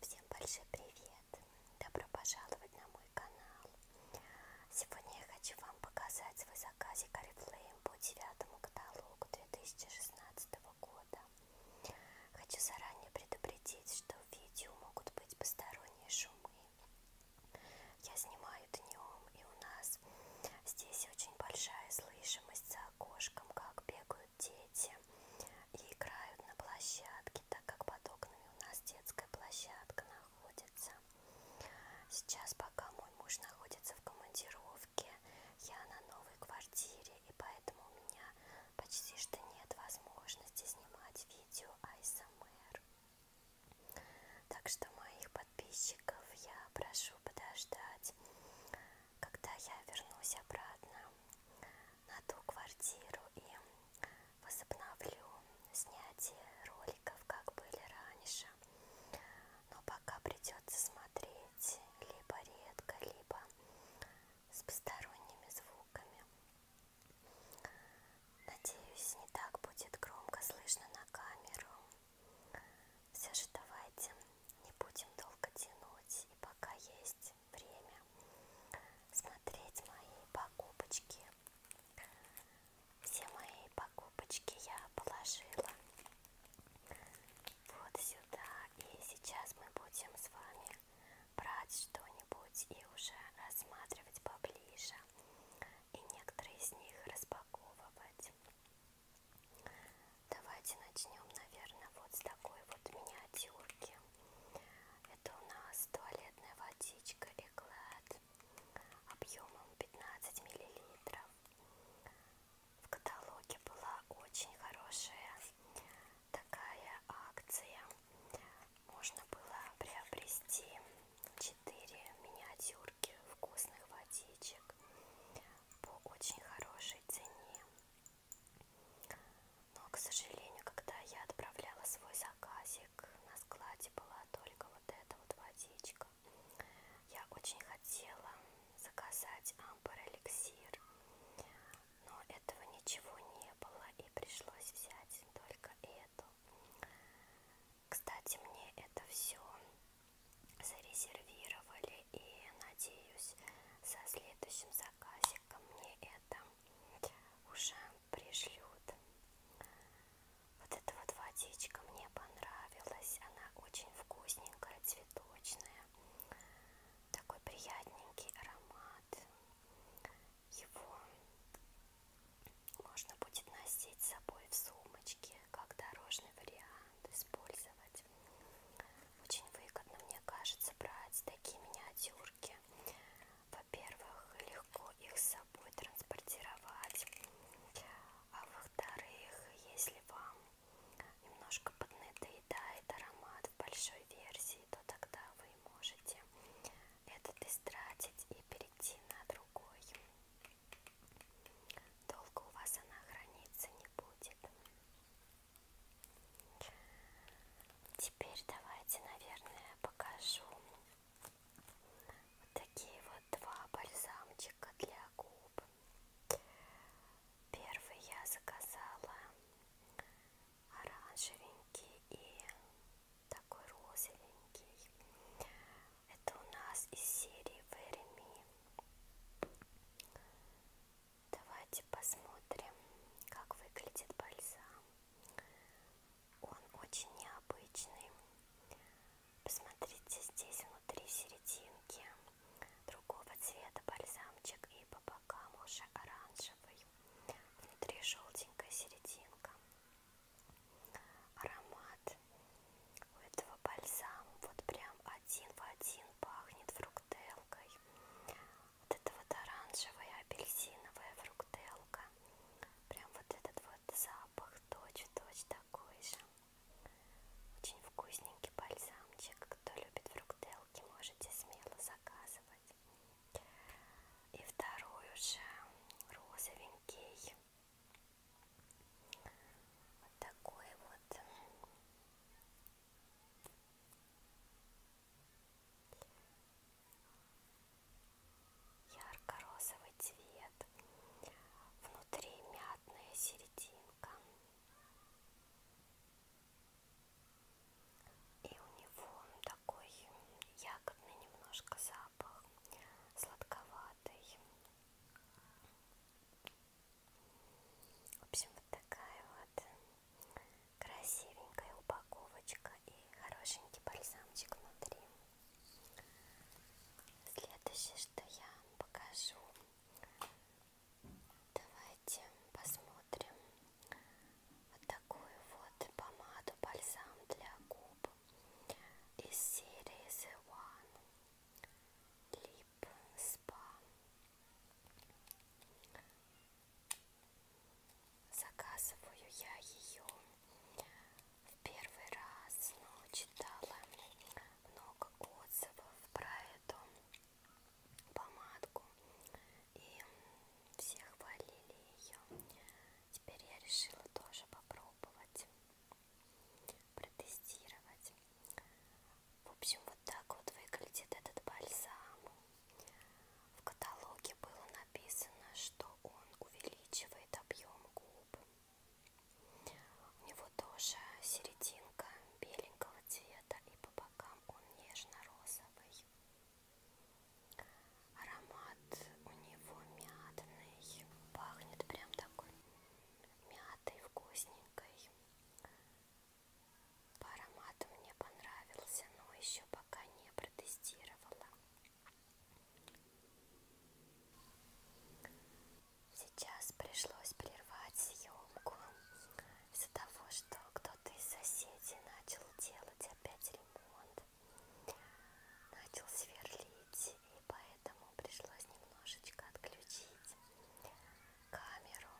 Всем большой привет! Добро пожаловать на мой канал! Сегодня я хочу вам показать свой заказик Oriflame по девятому каталогу 2016 2016 года. Хочу заранее предупредить, что в видео могут быть посторонние шумы. Я снимаю днем, и у нас здесь очень большая слышимость за окошком, как бегают дети и играют на площадке, так как под окнами у нас детская площадка находится. Сейчас, пока мой муж находится в командировке, командировке, я на новой квартире, и поэтому у меня почти что нет возможности снимать видео АСМР. Так что моих подписчиков я прошу подождать, когда я вернусь обратно на ту квартиру и возобновлю снятие роликов, как были раньше. Но пока придется смотреть говорить либо редко, либо с посторонними звуками. Надеюсь, не так будет громко слышно на камеру. Все же давайте не будем долго тянуть. И пока есть время смотреть мои покупочки. Все мои покупочки я положила вот сюда. И сейчас мы будем с вами брать что-нибудь и уже рассматривать поближе. И некоторые из них распаковывать. Давайте начнем, наверное, вот с такой вот миниатюрки. Это у нас туалетная водичка Эклад объемом 15 миллилитров в каталоге была очень хорошая такая акция. Можно было приобрести 4 миниатюрки вкусных водичек по очень хорошей цене. Но, к сожалению, когда я отправляла свой заказик, на складе была только вот эта вот водичка так. Я очень хотела заказать амбар эликсир, но этого ничего не было и пришлось взять только эту. Кстати, мне это все зарезервировали и надеюсь, со следующим заказиком мне это уже пришлют. Вот эта вот водичка мне понравилась. Она очень вкусненькая, цветочная. Такой приятненький аромат. Его можно будет носить с собой в сумочке, как дорожный вариант использовать. Очень выгодно, мне кажется, брать такие миниатюрки. Во-первых, легко их с собой транспортировать а во-вторых, если вам немножко поднадоедает аромат в большой версии, то тогда вы можете этот истратить и перейти на другой. Долго у вас она храниться не будет. Теперь давайте, наверное, покажу вот такие вот два бальзамчика для губ губ. Первый я заказала оранжевенький и такой розовенький. Это у нас из серии Вереми. Давайте посмотрим, как выглядит бальзам. Он очень необычный. Посмотрите, здесь внутри серединки другого цвета бальзамчик и по бокам уже оранжевый. Внутри желтенькая серединка. Аромат у этого бальзама вот прям один в один пахнет фруктелкой. Вот это вот оранжевая апельсиновая фруктелка. Прям вот этот вот вот запах точь-в-точь -точь такой же. Очень вкусненький бальзамчик. Кто любит фруктелки, можете смело заказывать. И второй уже розовенький. Вот такой вот ярко-розовый цвет, внутри мятная серединка. И у него такой ягодный немножко запах, сладковатый. В общем, вот такая вот красивенькая упаковочка и хорошенький бальзамчик внутри. Следующее, что я покажу, давайте посмотрим вот такую вот помаду бальзам для губ из серии The One Lip Spa. Заказываю я ее в первый раз, но читала много отзывов про эту помадку и все хвалили ее. Теперь я решила тоже попробовать, протестировать. В общем, вот так вот выглядит этот бальзам. В каталоге было написано, что он увеличивает объем губ. У него тоже серединка беленького цвета и по бокам он нежно-розовый. Аромат у него мятный, пахнет прям такой мятой, вкусненькой. По аромату мне понравился, но еще пока не протестировала. Сейчас пришлось прервать съемку из-за того, что кто-то из соседей начал делать опять ремонт, начал сверлить, и поэтому пришлось немножечко отключить камеру.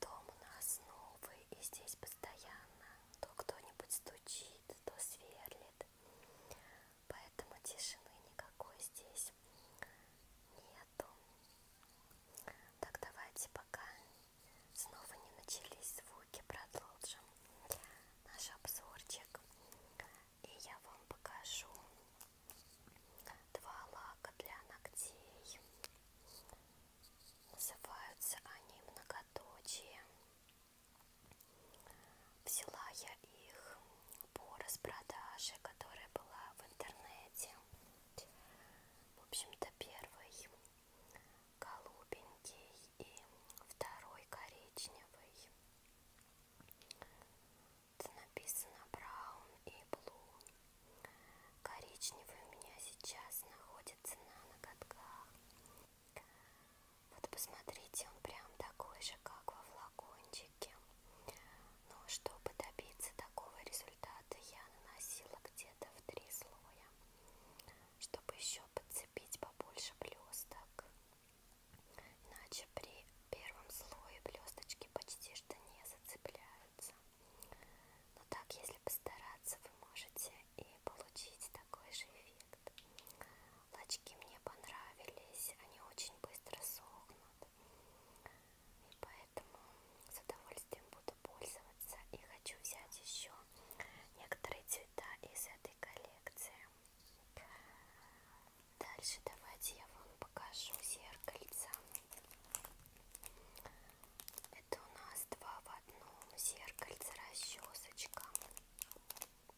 Дом у нас новый, и здесь постоянно то кто-нибудь стучит, то сверлит поэтому тишины никакой здесь нету. Так, давайте пока снова не начались звуки, продолжим наш обзорчик. И я вам покажу два лака для ногтей. Называются они многоточие. Взяла я их по распродаже, которая была в интернете. В общем-то, первый голубенький и второй коричневый. Это написано Браун и Блу. Коричневый у меня сейчас находится на ноготках. Вот посмотрите, он прям такой же, как во флакончике. Но чтобы добиться такого результата, я наносила где-то в три слоя, чтобы еще подцепить побольше блесток. Иначе при первом слое блесточки почти что не зацепляются. Но так, если постараться, вы можете и получить такой же эффект. Лачки мне понравились, они очень быстро сохнут. И поэтому с удовольствием буду пользоваться. И хочу взять еще некоторые цвета из этой коллекции. Дальше давайте я вам покажу зеркальца. Это у нас два в одном зеркальце расчесочка. Вот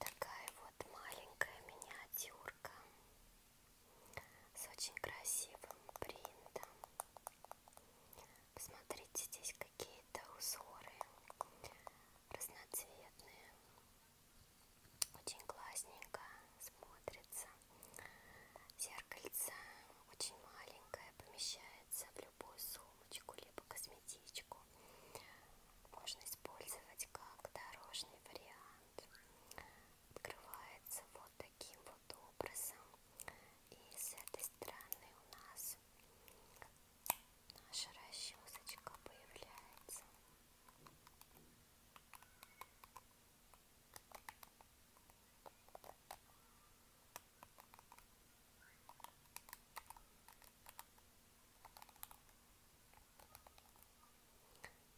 такая вот маленькая миниатюрка с очень красивым принтом. Посмотрите, здесь какие-то узоры разноцветные. Очень классненько смотрится. Зеркальце очень маленькое, помещается в любую сумочку, либо косметичку. Можно использовать как дорожный вариант. Открывается вот таким вот образом. И с этой стороны у нас наша расчесочка появляется.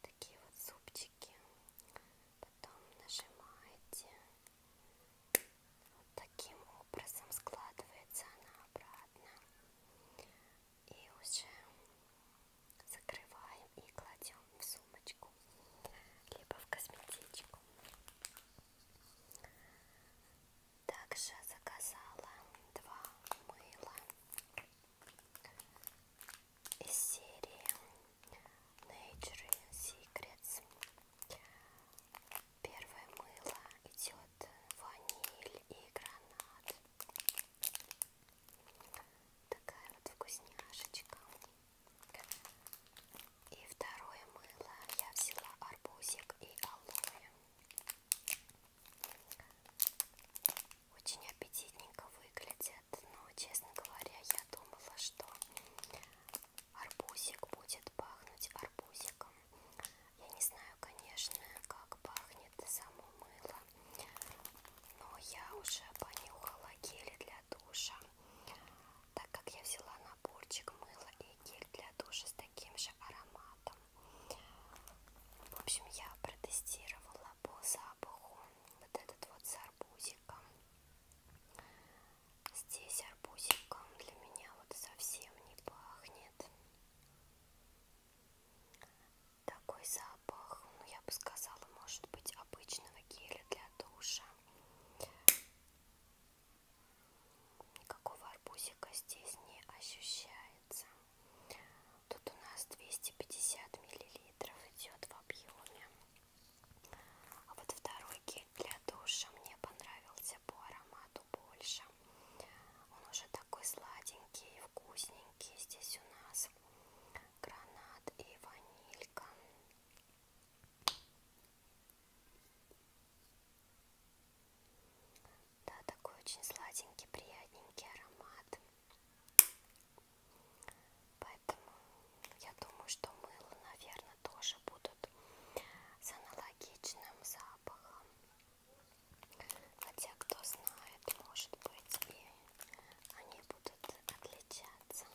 Такие вот зубчики. Потом нажимаете вот таким образом складывается она обратно. И уже закрываем и кладем в сумочку, либо в косметичку. Также заказала два мыла из серии Nature Secrets Первое мыло идет ваниль и гранат. Такая вот вкусняшечка. И второе мыло я взяла арбузик и алоэ. Очень аппетитненько выглядят, но, честно говоря, я думала, что арбузик будет пахнуть арбузиком. Я не знаю, конечно, как пахнет само мыло, но я уже понюхала гель для душа, так как я взяла наборчик мыла и гель для душа с таким же ароматом. В общем, я протестировала по запаху вот этот вот с арбузиком. Здесь арбузиком для меня вот совсем не пахнет нет. Такой запах, ну я бы сказала, может быть обычного геля для душа. Никакого арбузика здесь не ощущается. Тут у нас 250 миллилитров идет в объеме. А вот второй гель для душа мне понравился по аромату что больше. Он уже такой сладенький, вкусненький. Здесь у нас гранат и ванилька. Да, такой очень сладенький, приятненький аромат. Поэтому я думаю, что мыло, наверное, тоже будут с аналогичным запахом запаха. Хотя, кто знает, может быть, и они будут отличаться.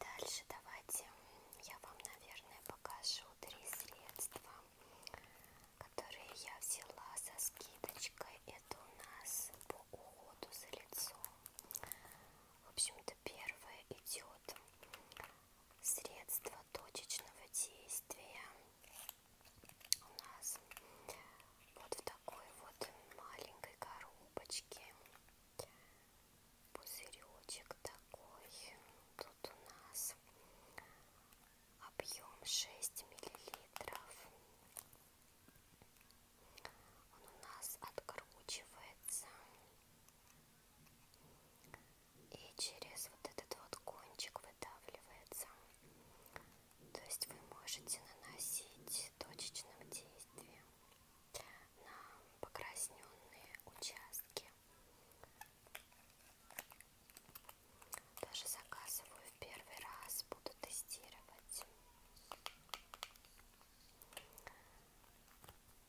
Дальше давайте я вам, наверное, покажу три средства, которые я взяла со скидочкой. Это у нас по уходу за лицом. В общем, вот первое идет средство точечного действия. У нас вот в такой вот маленькой коробочке пузыречек такой. Тут у нас объем 6 миллилитров. Он у нас откручивается. И через вот этот вот кончик выдавливается. То есть вы можете наносить точечным действием на покрасненные участки. Даже заказываю в первый раз, буду тестировать.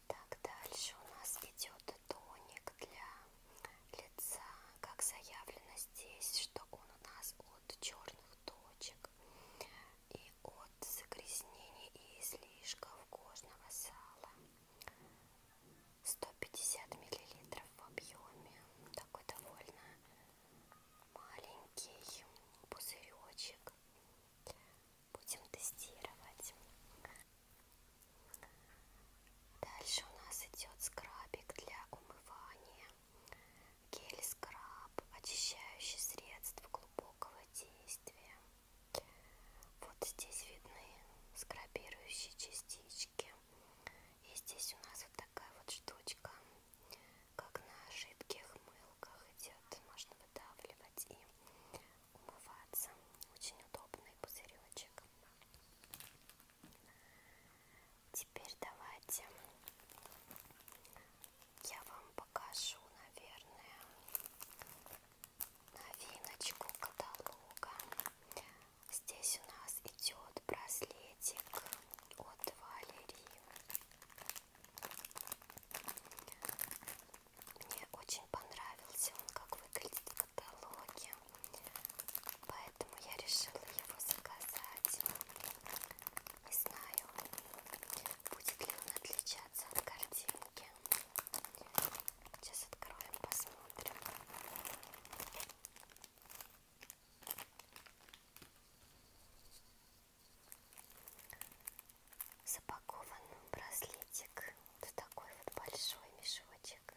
Так, дальше у нас идет тоник для лица, как заявлено здесь, что он у нас от черных точек и от загрязнений и излишков кожного сала. 150 миллилитров в объеме, такой довольно маленький пузыречек Будем тестировать. Дальше у нас идет скрабик для умывания. Гель-скраб, очищающий средство глубокого действия. Вот здесь видны скрабирующие частички. И здесь у нас вот такая вот штучка как на жидких мылках идет, можно выдавливать и умываться. Очень удобный пузыречек. Теперь давайте я вам покажу, наверное, новиночку каталога. Здесь у нас идет браслетик от Валерии. Мне очень понравился он, как выглядит в каталоге, поэтому я решила его заказать. Не знаю, будет ли он отличаться от картинки. Сейчас откроем, посмотрим запакован браслетик. Вот такой вот большой мешочек.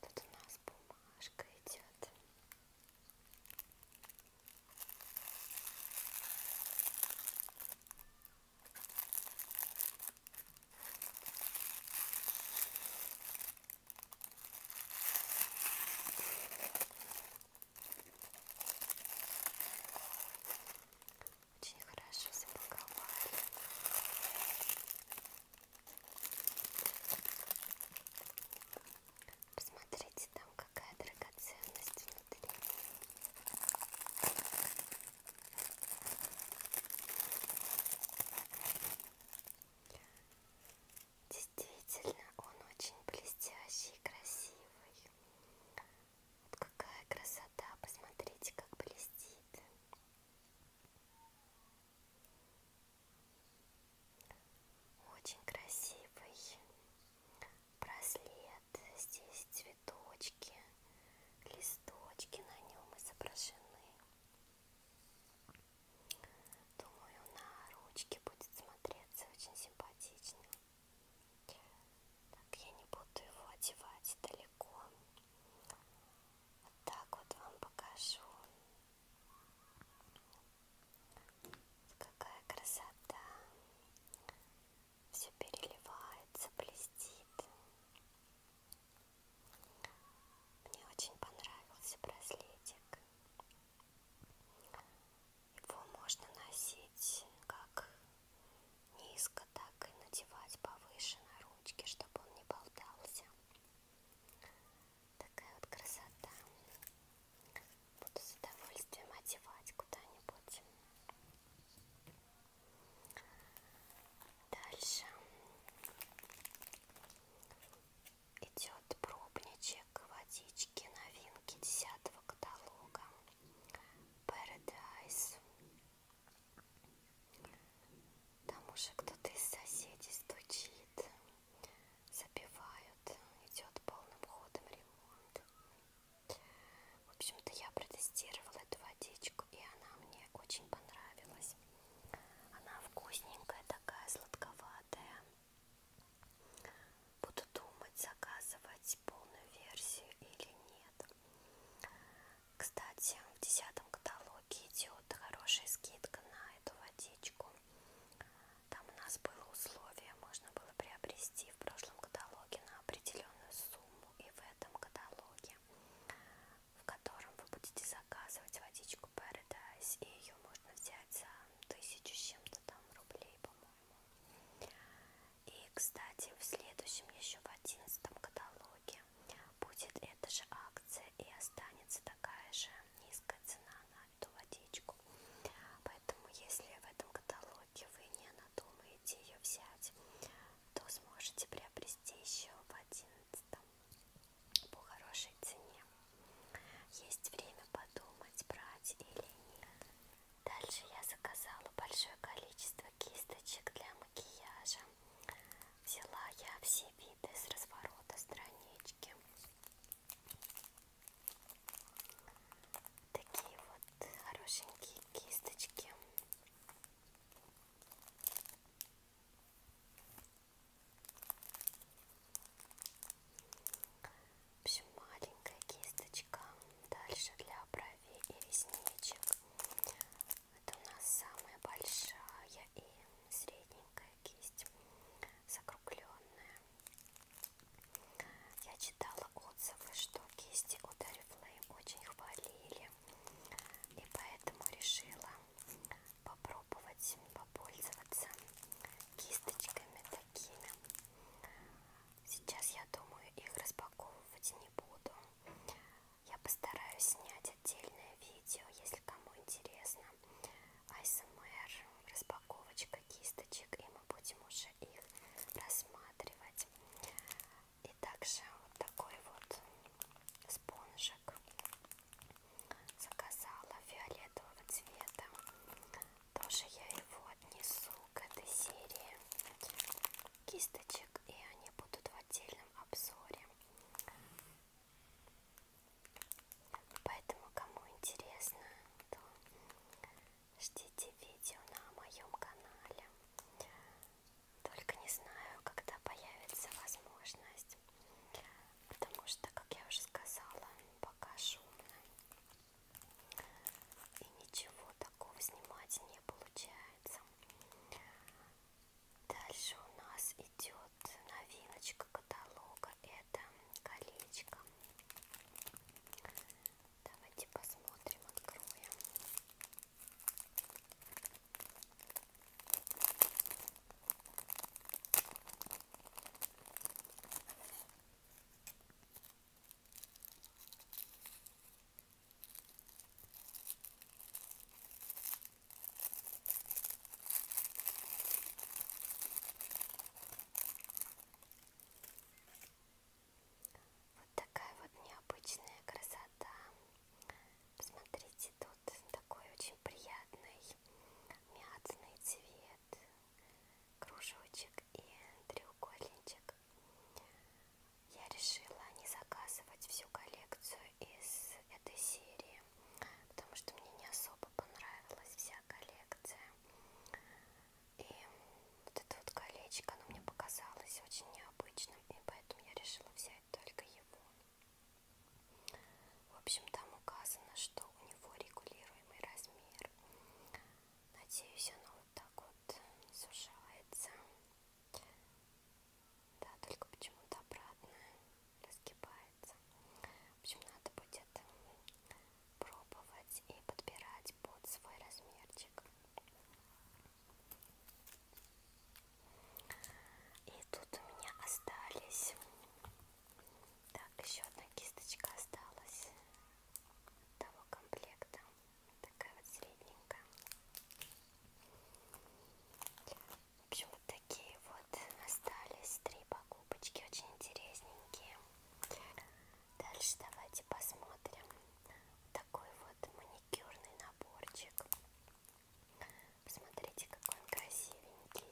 Тут у нас бумажка идет. Очень хорошо запаковали. Посмотрите, там какая драгоценность внутри. Действительно, он очень блестящий и красивый. Вот какая красота, посмотрите, как блестит. Очень красивый браслет. Здесь цветочки, листочки на нем изображены. Думаю, на ручке будет смотреться очень симпатично. Так, я не буду его одевать далеко. Вот так вот вам покажу. Какая красота! Все переливается, блестит. Мне очень понравился браслетик. Его можно носить как низко, так и надевать повыше на ручки, чтобы он не болтался. Такая вот красота. Буду с удовольствием одевать куда-нибудь. Дальше идет пробничек водички, новинки 10 каталога. Paradise. Там уже кто-то из соседей стучит забивают. Идет полным ходом ремонт. В общем-то, я протестировала эту водичку, и она мне очень понравилась. Она вкусненькая, такая сладковатая. Буду думать, заказывать полную версию или нет. Кстати, в десятом каталоге идет хорошая скидка на эту водичку. Там у нас было условие, можно было приобрести в прошлом каталоге на определенную сумму и в этом каталоге, в котором вы будете заказывать водичку Paradise, и ее можно взять за тысячу с чем-то там рублей, по-моему. И, кстати, в следующем, еще в одиннадцатом каталоге будет эта же акция и останется такая же низкая цена на эту водичку. Поэтому, если в этом каталоге вы не надумаете ее взять, то сможете приобрести еще в 11 по хорошей цене. Есть время подумать, брать или нет. Дальше я заказала большое количество кисточек для макияжа. Взяла я все виды с разворота странички. Такие вот хорошенькие кисточки. В общем, маленькая кисточка. Дальше для бровей и ресничек. Это у нас самая большая и средненькая кисть закругленная. Я читала отзывы, что кисти у Дари Flame очень хвалили, и поэтому решила попробовать попользоваться кисточками такими. Сейчас я думаю их распаковывать не буду. Я постараюсь снять отдельное видео, если кому интересно. АСМР, распаковочка кисточек, и мы будем уже их рассматривать. И также вот такой вот спонжик заказала фиолетового цвета. Тоже я его отнесу к этой серии кисточек, и они будут в отдельном обзоре. Поэтому, кому интересно, то ждите видео на моем канале. Только не знаю, когда появится возможность. Потому что, как я уже сказала, пока шумно. И ничего такого снимать не получается. Дальше у нас идет новиночка каталога. Это колечко. Давайте посмотрим, откроем. Вот такая вот необычная красота. Посмотрите, тут такой очень приятный мятный цвет, кружочек и треугольничек. Я решила не заказывать всю коллекцию из этой серии, альбоме, потому что мне не особо понравилась вся коллекция. И вот это вот колечко, оно мне показалось очень необычным, и поэтому я решила взять только его. В общем, там указано, что у него регулируемый размер. Надеюсь, оно вот так вот сужается. Да, только почему-то обратно разгибается нравится. В общем, надо будет пробовать и подбирать под свой размерчик. И тут у меня остались. Так, еще одна кисточка осталась того комплекта. Такая вот средненькая. В общем, вот такие вот остались три покупочки, очень интересненькие. Дальше давайте посмотрим такой вот маникюрный наборчик. Посмотрите, какой он красивенький.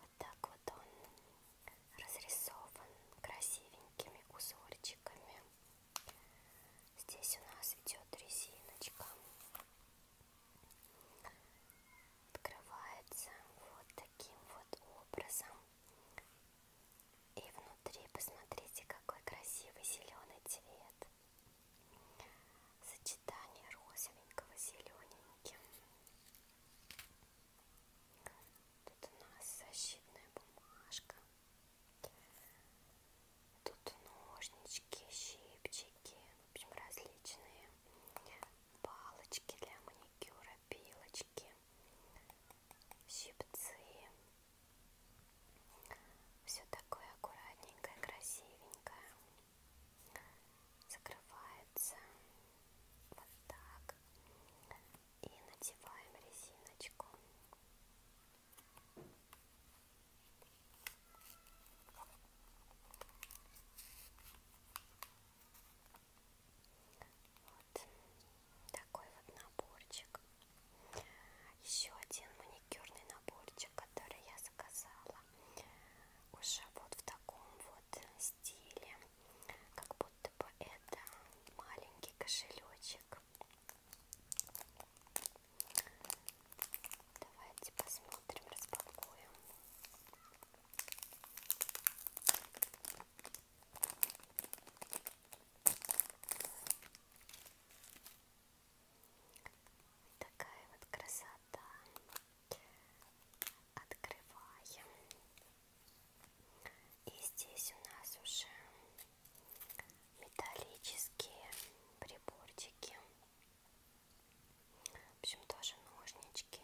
Вот так вот он разрисован красивенькими узорчиками. Здесь у нас идет резиночка. Открывается вот таким вот образом. И внутри посмотрите, какой красивый зеленый цвет сочетание розовенького с зелененьким. Тут у нас защитная бумажка. Тут ножнички, щипчики, в общем, различные палочки для маникюра, пилочки, щипцы. Все такое аккуратненькое, красивенькое закрывается вот так и надеваем резиночку. Вот такой вот наборчик. Еще один маникюрный наборчик, который я заказала вышла уже вот в таком вот стиле, как будто бы это маленький кошелечек. Давайте посмотрим, распакуем. Такая вот красота. Открываем. И здесь у нас уже металлические приборчики. В общем, тоже ножнички.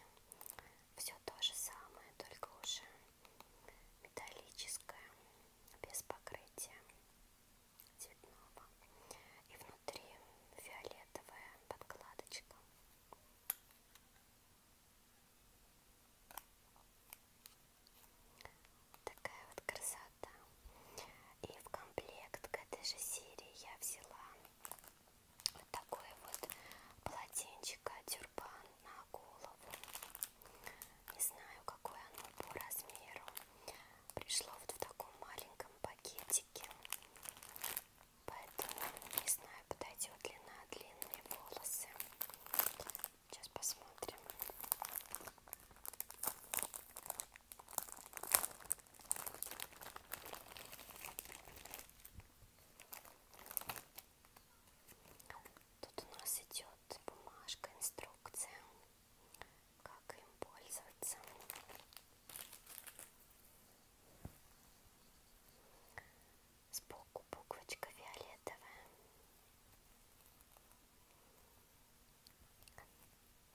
Все то же самое, только уже металлическое, без покрытия цветного и внутри фиолетовая подкладочка. Такая вот красота. И в комплект к этой же серии я взяла вот такое вот полотенчико, тюрбан на голову. Не знаю, какое оно по размеру. Пришло вот в таком маленьком пакете носики. Поэтому не знаю, подойдет ли на длинные волосы. Сейчас посмотрим. Тут у нас идет бумажка, инструкция как им пользоваться. Сбоку буквочка фиолетовая.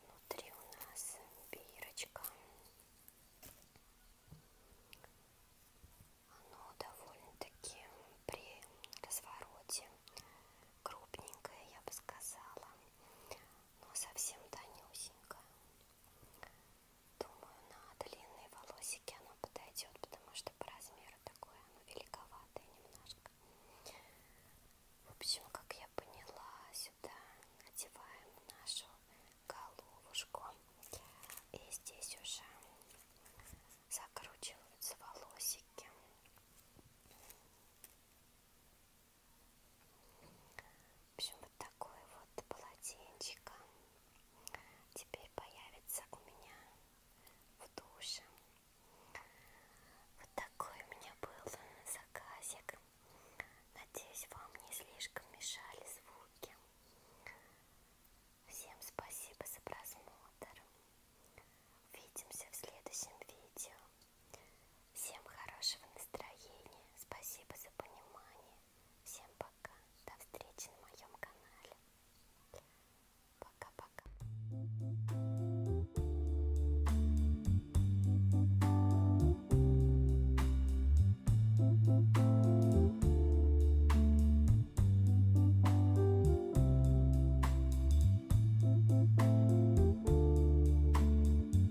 Внутри у нас бирочка. Оно довольно-таки при развороте крупненькое, я бы сказала но совсем тонюсенькая. Думаю, на длинные волосики оно подойдет, потому что по размеру такое оно великоватое немножко. В общем, как я поняла, сюда надеваем нашу головушку. И здесь уже закручиваются волосики. В общем, вот такое вот полотенчико а, теперь появится у меня в душе. Вот такой у меня был заказик. Надеюсь, вам не слишком мешали звуки. Всем спасибо за просмотр. Увидимся в следующем видео. Всем хорошего настроения. Спасибо за понимание. Всем пока. До встречи на моем канале. Пока-пока.